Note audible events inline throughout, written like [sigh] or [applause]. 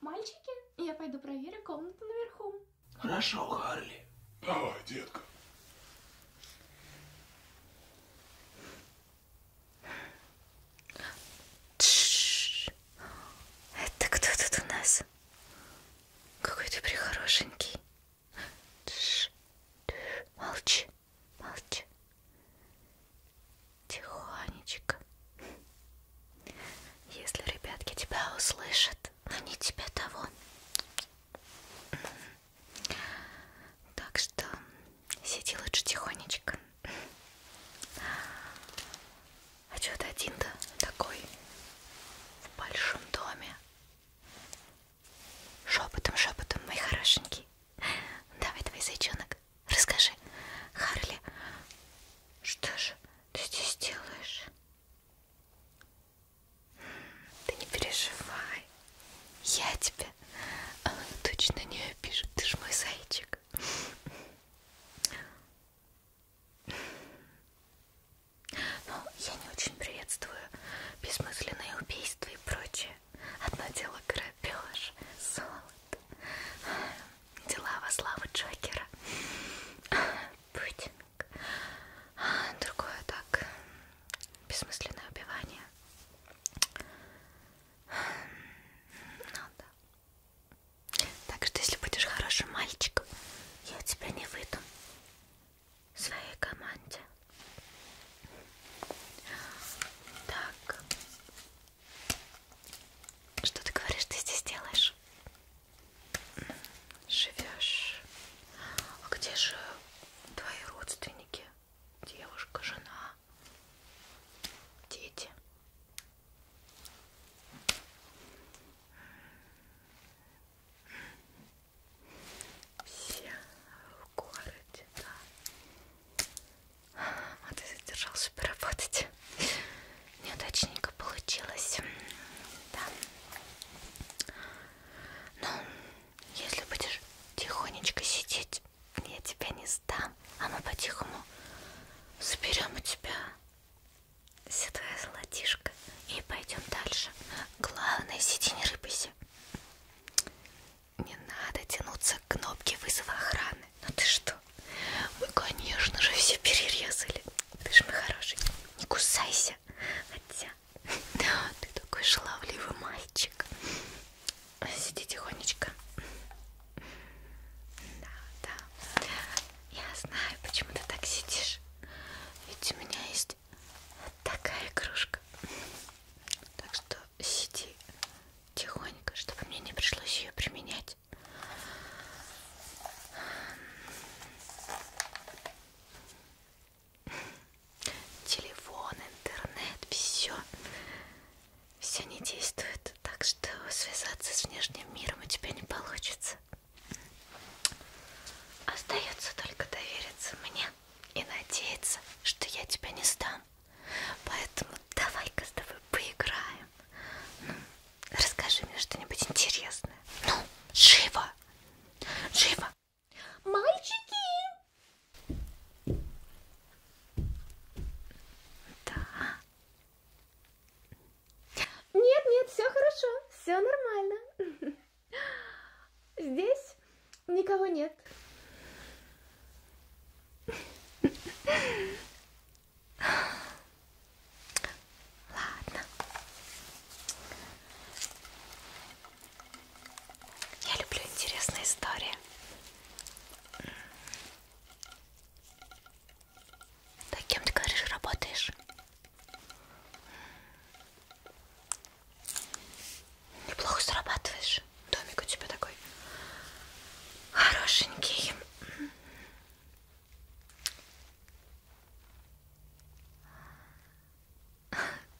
Мальчики, я пойду проверю комнату наверху. Хорошо, Харли. Давай, детка. Это кто тут у нас? Какой ты прихорошенький. Тш, тш, молчи, молчи. Тихонечко. Если ребятки тебя услышат, они тебе того. Так что сиди лучше тихонечко. А что ты один-то такой в большом доме? Шепотом, шепотом, мой хорошенький. Давай, давай, зайчонок, расскажи. Харли, что же ты здесь делаешь? Ты не переживай. Я тебя а, точно не обижу. Ты ж мой зайчик. Ну, я не очень приветствую бессмысленные убийства и прочее. Одно дело грабеж, золото, дела во славу Джокера, путинг, а другое так, бессмысленное убивание. Ну да. Так что если будешь хорошим мальчиком, я тебя не выйду своей команде. Так. Что ты говоришь, ты здесь делаешь? Живешь. А где же твои родственники? Девушка, жена, дети все в городе, да. А ты задержался поработать. Неудачненько получилось. Да. Ну, если будешь тихонечко сидеть, я тебя не сдам. А мы по-тихому соберем у тебя Святая золотишка. И пойдем дальше. Главное, сиди не рыпайся. Не надо тянуться к кнопке вызова охраны. Ну ты что? Мы, конечно же, все перерезали. Ты же мой хороший. Не кусайся. Хотя, [laughs] ты такой шаловливый мальчик. Сиди тихонечко. Да, да. Я знаю, почему ты так сидишь. Ведь у меня есть есть такая игрушка. Так что сиди тихонько, чтобы мне не пришлось ее применять. Телефон, интернет, все. Все не действует, так что связаться с внешним миром у тебя не получится. Остается только довериться мне и надеяться, что я тебя не стану. Поэтому давай-ка с тобой поиграем. Ну, расскажи мне что-нибудь интересное. Ну, живо! Живо! Мальчики! Да. Нет, нет, все хорошо, все нормально. [laughs] Здесь никого нет. Ладно. Я люблю интересные истории. Да кем ты говоришь, работаешь? Неплохо зарабатываешь. Домик у тебя такой хорошенький.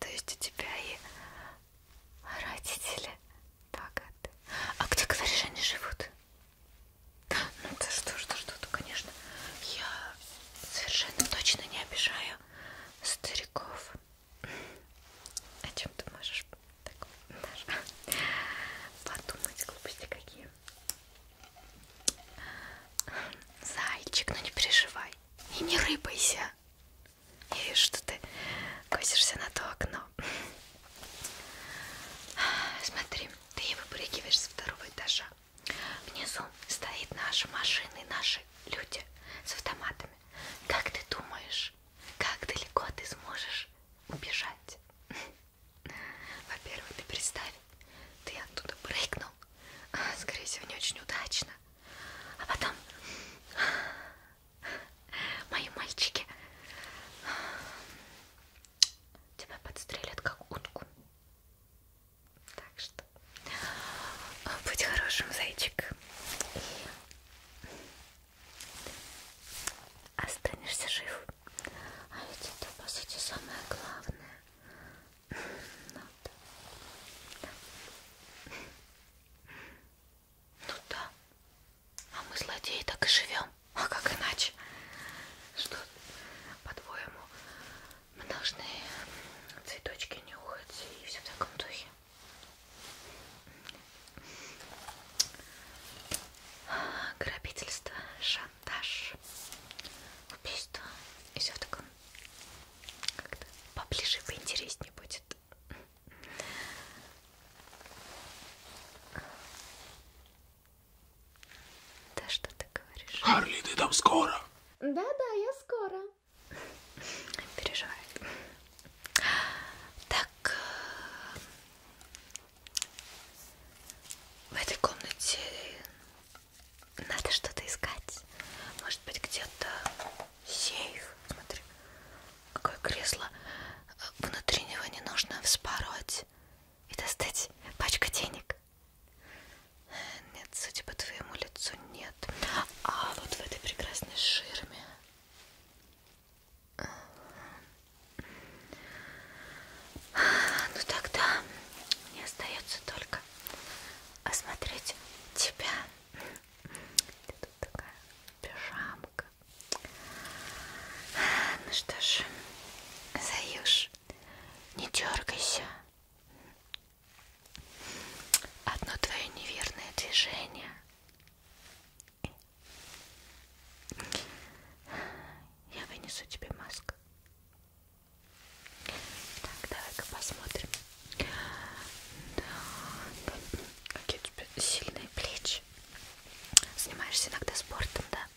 То есть у тебя и родители богаты. А где, говоришь, они живут? Ну, да что ж, да что-то, конечно. Я совершенно точно не обижаю стариков. О чем ты можешь так, даже подумать, глупости какие? Зайчик, ну не переживай. И не рыбайся. Я вижу, что ты косишься на то окно. Смотри, ты ее выпрыгиваешь со второго этажа. Внизу стоит наши машины, наши люди с автоматами. Как ты думаешь, как далеко ты сможешь убежать? [laughs] Во-первых, ты представь, ты оттуда прыгнул, [laughs] скорее всего, не очень удачно. А потом [laughs] мои мальчики тебя подстрелят как утку. Так что будь хорошим, зайчик. И останешься жив. А ведь это, по сути, самое главное. Ну да. да. Ну да. А мы злодеи так и живем. А как иначе? Что, по-твоему, мы должны цветочки нюхать и все в таком духе. Грабительство, шантаж, убийство и все в таком как-то поближе, поинтереснее будет. Да что ты говоришь? Харли, ты там скоро? Да, да, я скоро. Переживай. Так, э, в этой комнате надо что-то искать. Может быть, где-то сейф. Смотри, какое кресло. Внутри него не нужно вспороть и достать пачку денег. Нет, судя по твоему лицу, нет. А вот в этой прекрасной ширме. Ну тогда мне остается только осмотреть тебя. Ты тут такая пижамка. Ну что ж, Заюш, не дергайся. Одно твое неверное движение. Я вынесу тебе маску. Так, давай-ка посмотрим. Так. Какие у тебя сильные плечи. Занимаешься иногда спортом, да?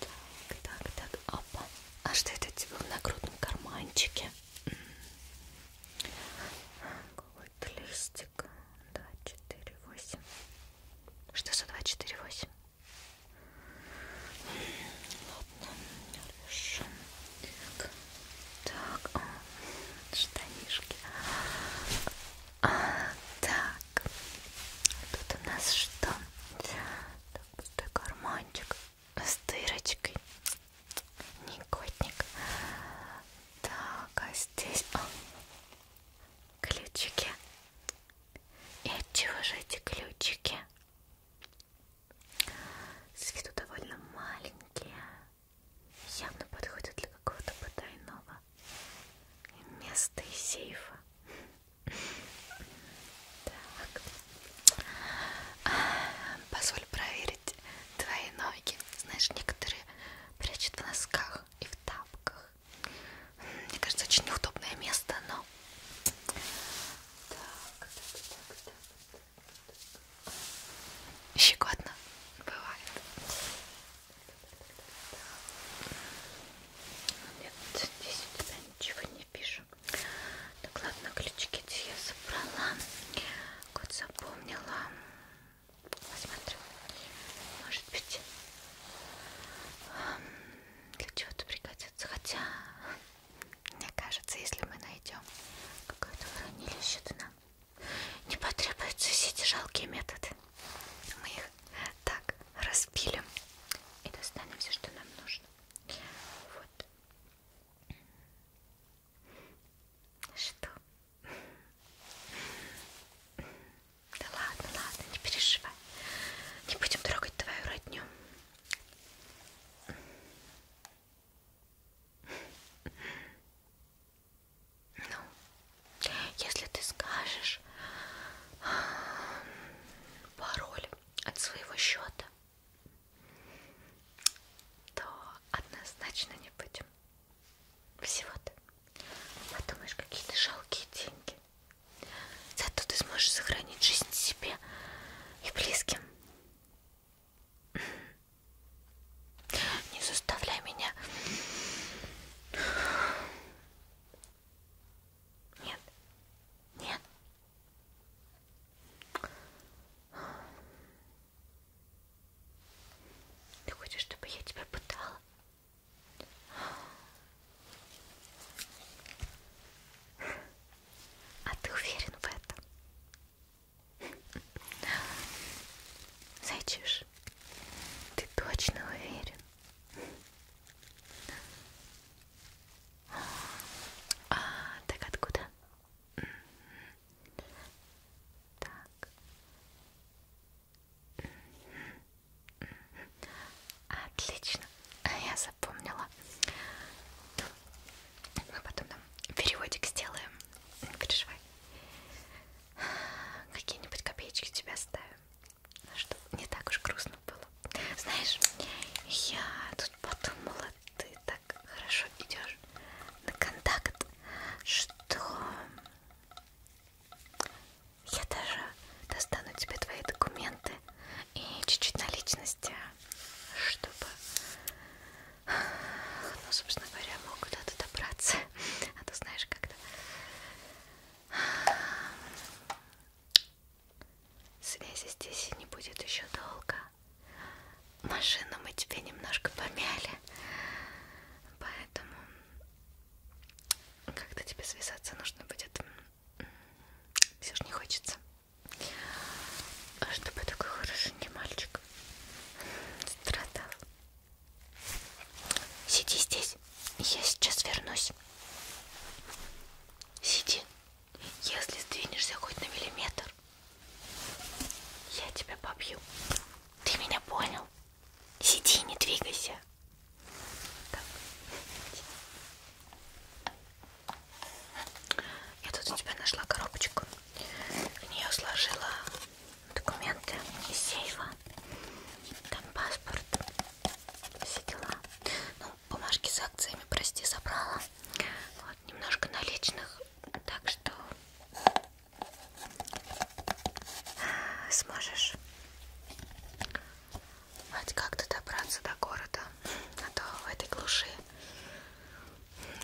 Так, так, так, опа. А что это у тебя в нагрудном карманчике? Какой-то листик. 2, 4, 8. Что за 2, 4, 8? Ладно, хорошо. Так. Так, о, штанишки. А, так, тут у нас что? Так, пустой карманчик с дырочкой. Никотник. Так, а здесь о, ключики. И от чего же эти ключики? С виду довольно маленькие явно подходит для какого-то потайного места и сейфа. Так. Позволь проверить твои ноги. Знаешь, некоторые прячут в носках и в тапках. Мне кажется, очень неудобное место, но... Так, так, так, так. Щекотно бывает. Нет, здесь у тебя ничего не пишу. Так, ладно, ключики я собрала. Кот запомнила. Посмотрю. Может быть, эм, для чего-то пригодится. Хотя, мне кажется, если мы найдем какое-то хранилище, то нам не потребуются все эти жалкие методы. Мы их так распилим и достанем все, что нам нужно. Вот. Что? Да ладно, ладно, не переживай. Не будем трогать твою родню. Ну, если ты скажешь пароль от своего счета, то однозначно не будем. Всего-то. Подумаешь, какие то жалкие деньги. Зато ты сможешь сохранить жизнь себе и близким. Не заставляй меня. Нет. Нет. Ты хочешь, чтобы я тебя пытала? А ты уверен в этом? Зайчиш, ты точно уверен? А, так откуда? Так. Отлично, я запомнила. Мы а потом там переводик сделаем не переживай. Какие-нибудь копеечки тебя ставим, чтобы не так уж грустно было. Знаешь, я тут подумала, ты так хорошо идешь на контакт, что я даже достану тебе твои документы и чуть-чуть наличности, чтобы ну, собственно говоря, мог куда-то добраться. А то знаешь как-то связи здесь не будет еще долго. Машину мы тебе немножко помяли. Поэтому как-то тебе связаться нужно будет. Все же не хочется. А чтобы такой хорошенький мальчик Страдал. Сиди здесь. Я сейчас вернусь. Сиди. Если сдвинешься хоть на миллиметр, я тебя побью. Ты меня понял? Сиди, не двигайся. Так. Я тут у тебя нашла коробочку на нее сложила документы из сейфа, там паспорт, все дела. Ну, бумажки с акциями, прости, забрала. Вот, немножко наличных, так что сможешь хоть как-то добраться до города, а то в этой глуши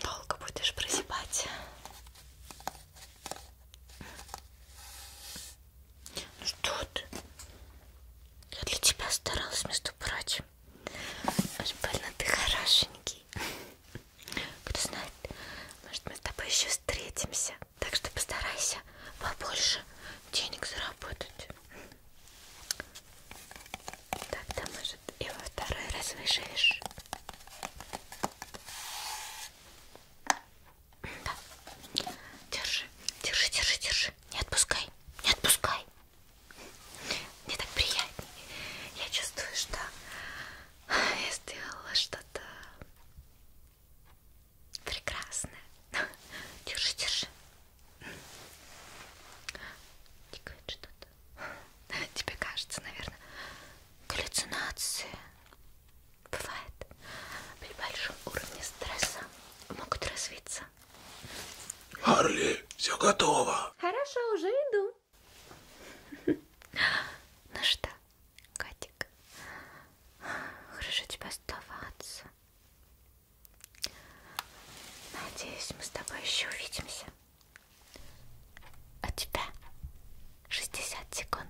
долго будешь прозябать. Ну что ты? Я для тебя старалась, между прочим. Уж больно ты хорошенький. Кто знает, может мы с тобой еще встретимся. Так что постарайся побольше денег заработать. Так, там мы может и во второй раз выживешь. Да. Держи, держи, держи, держи. Не отпускай, не отпускай. Мне так приятнее. Я чувствую, что я сделала что-то прекрасное. Держи, держи. Тикает что-то. [laughs] Тебе кажется, наверное, галлюцинации бывает при большом уровне стресса могут развиться. Харли, все готово. Хорошо, уже иду. [laughs] Ну что, котик, хорошо тебе оставаться. Надеюсь, мы с тобой еще увидимся. У а тебя 60 секунд.